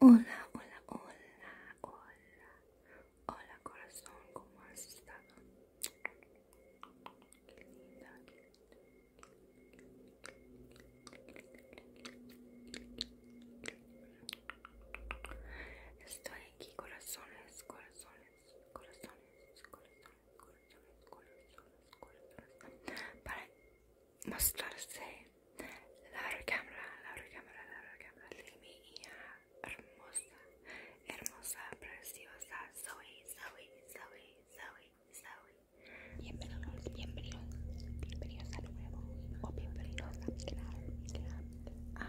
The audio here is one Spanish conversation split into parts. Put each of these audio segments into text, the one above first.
Hola, hola, hola, hola, hola corazón, ¿cómo has estado? Estoy aquí, corazones, corazones, corazones, corazones, corazones, corazones, corazones, corazones, para mostrarse la cámara, la recámara la de mi hermosa, hermosa, preciosa, Zoe, Bienvenidos, bienvenidos, bienvenidos nuevo o bienvenidos a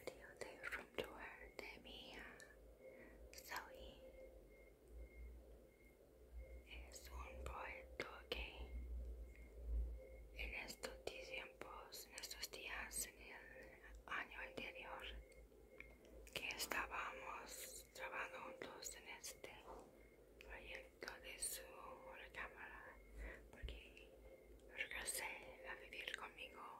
video de room tour de Zoe es un poeta que en estos tiempos, en estos días, en el año anterior que estábamos trabajando juntos en este proyecto de su cámara porque regresé a vivir conmigo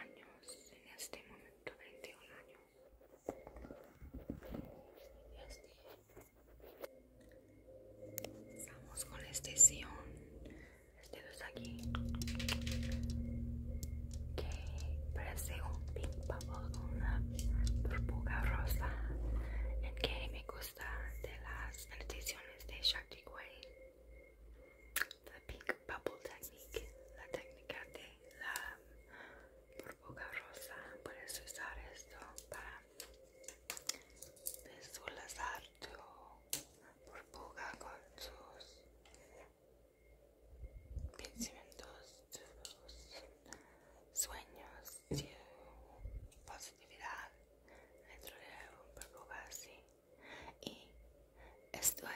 años, en este momento 21 años. Estamos con la estación este dos aquí, que parece un pink bubble con una burbuja rosa, en que me gusta de las estaciones de Shakti Way la pink bubble technique, la técnica de la burbuja rosa. Puedes usar esto para visualizar tu burbuja con tus pensamientos, tus sueños, tu positividad dentro de un burbuja así. Y estoy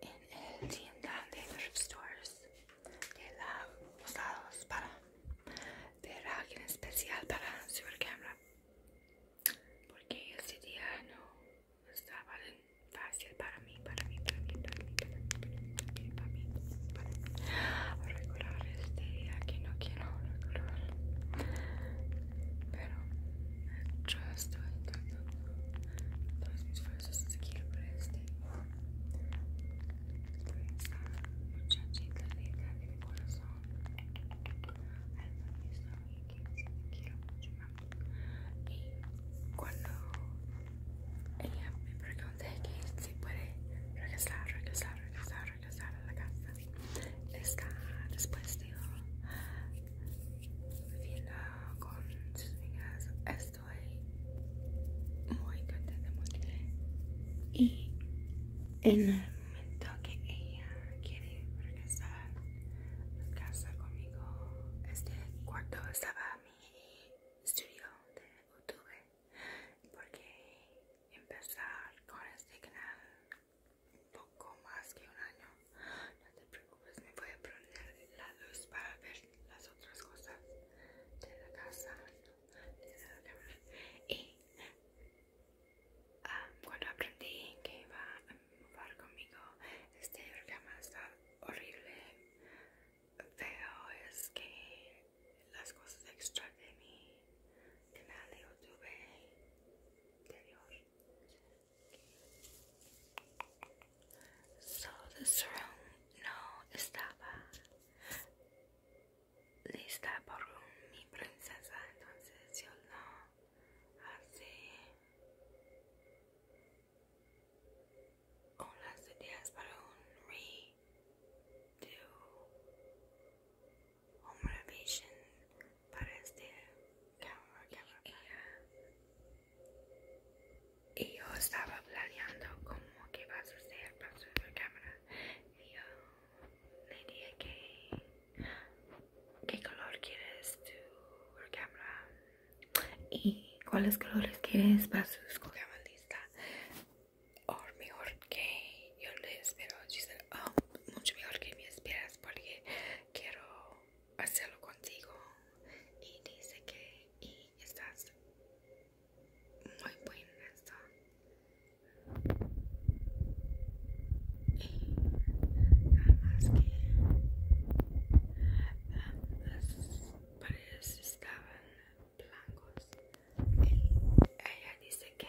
en el tienda de Stores de la Lados para ver alguien especial para super cámara. Porque este día no estaba fácil para mí, para mí, para mí, para mí, para mí, para mí, para mí, para mí, este día que no quiero pero yo estoy intentando todas mis fuerzas de por este esta muchachita linda de mi corazón alma misma y que te quiero mucho más y cuando ella me pregunté que si puede regresar regresar regresar regresar a la casa está después de ir con sus amigas. Estoy muy contenta, muy Y en el momento que ella quiere regresar a casa conmigo, este cuarto estaba mi estudio de YouTube porque empezar con este canal poco más que un año. No te preocupes, me voy a poner la luz para ver las otras cosas de la casa, Y ah, cuando aprendí que iba a jugar conmigo, este programa está horrible. Veo es que las cosas extra de mi canal de YouTube dios So this room no estaba. Lista por un, mi princesa, entonces yo la hace unas ideas para un redo. o motivation para este cámara cámara y yo estaba planeando cómo que va a ser para su cámara y yo le dije que qué color quieres tu cámara y cuáles colores quieres para sus cámaras lista o mejor que yo les espero dicen, oh mucho mejor que me esperas porque quiero hacerlo contigo y dice que y estás muy buena está y nada más que las paredes estaban blancos y ella dice que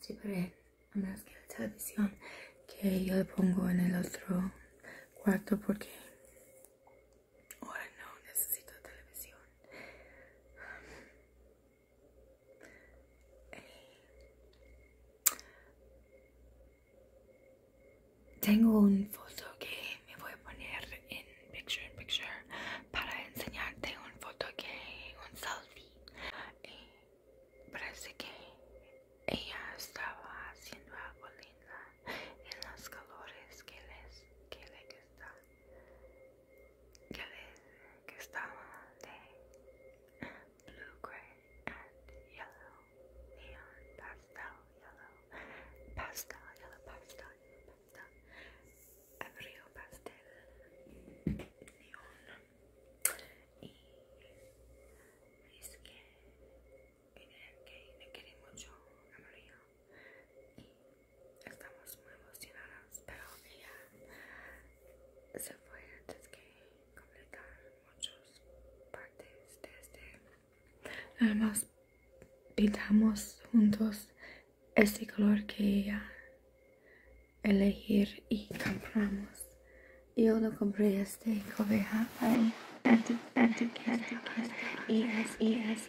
Siempre más que la televisión que yo le pongo en el otro cuarto porque ahora no necesito televisión eh, tengo un foto que me voy a poner en picture picture para enseñarte un foto que un selfie. Eh, parece que ella estaba haciendo algo linda en los colores que les que le gusta ya ves que blue gray and yellow neon pastel yellow pastel yellow pastel pastel ebrio pastel neon y es que, que, que no quería mucho amarillo y estamos muy emocionadas pero ella se fue antes que completar muchas partes de este. Además, pintamos juntos este color que ella elegir y compramos. Yo no compré este cobeja ahí y es y es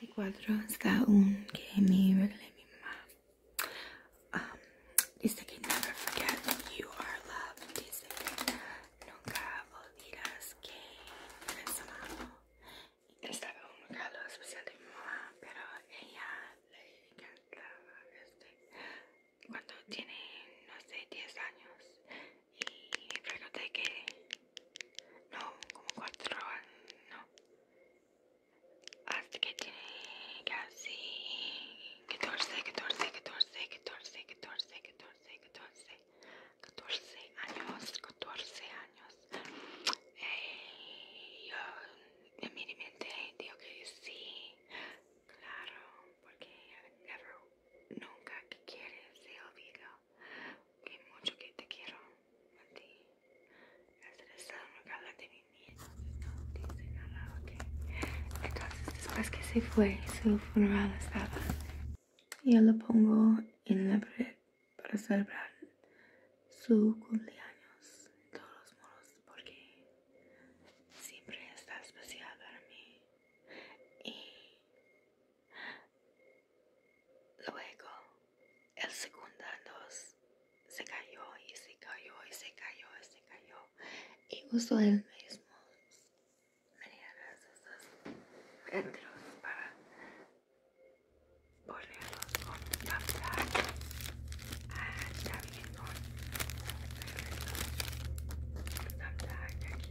mi cuadro está un game um, dice que never forget you are dice que nunca olvidas que eres amado estaba un regalo especial de mi mamá pero ella le encantaba este cuando tiene no sé 10 años y pregunté que no, como cuatro años, no. Hasta que tiene casi 14, 14, 14, 14, 14, 14, 14, años, 14 años. Y eh, yo en mi mente digo que sí, claro, porque nunca que quieres se olvida que mucho que te quiero a ti. Estás regala de mi miedo, no dice nada, Entonces, después que se fue, su funeral estaba. Yo lo pongo en la pared para celebrar su cumpleaños todos los modos porque siempre está especial para mí y Luego, el segundo dos se cayó y se cayó y se cayó y se cayó y usó el mismo medianas estos metros para volverlos con tapar ah, está bien con aquí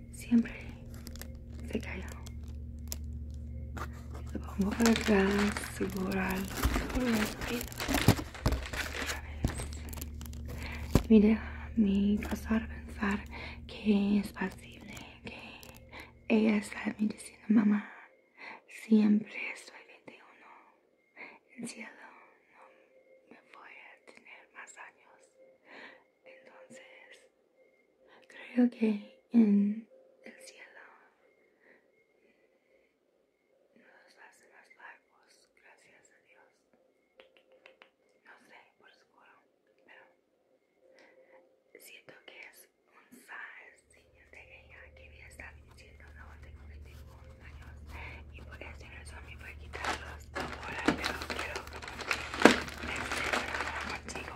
siempre se cayó. Lo pongo para atrás, borrarlo por los pasar pensar que es posible, que ella está me diciendo, mamá, siempre estoy 21. El cielo no me voy a tener más años. Entonces, Creo que en el cielo nos hace más largos, gracias a Dios. No sé por seguro, pero siento que es un signo de ella que había estado diciendo no tengo 21 años y por esa razón me voy a quitarlos ahora, pero quiero compartir este programa contigo.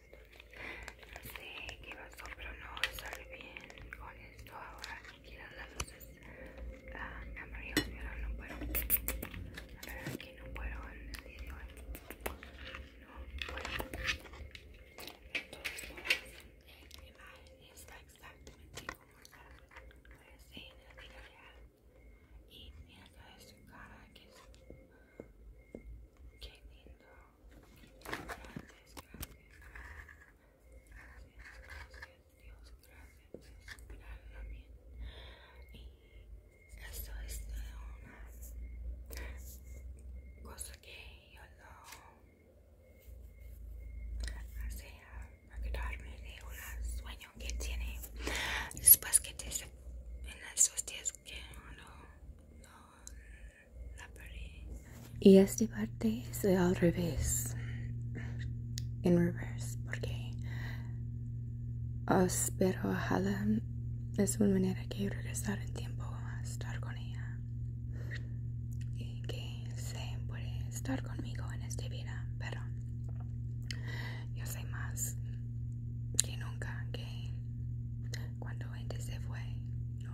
No sé qué pasó, pero no sale bien con esto ahora. que las luces amarillas, ah, pero no puedo. A ver, aquí no puedo en el video No puedo. Entonces, la imagen está exactamente como está. Pues, sí, en el día real. Y mira toda su cara que Qué lindo. gracias. Gracias, gracias, Dios, gracias Y esto es una cosa que yo lo Hace para quedarme de un sueño que tiene después que te en días no Y esta parte es al revés, en reverse, porque os a ojalá es una manera que regresar en tiempo a estar con ella y que se puede estar conmigo en esta vida, pero yo sé más que nunca cuando gente se fue no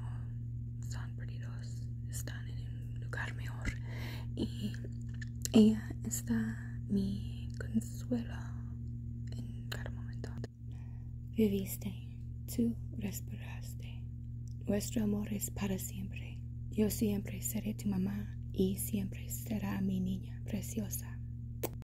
son perdidos están en un lugar mejor y ella está mi consuelo en cada momento viviste tú respiraste nuestro amor es para siempre yo siempre seré tu mamá y siempre será mi niña preciosa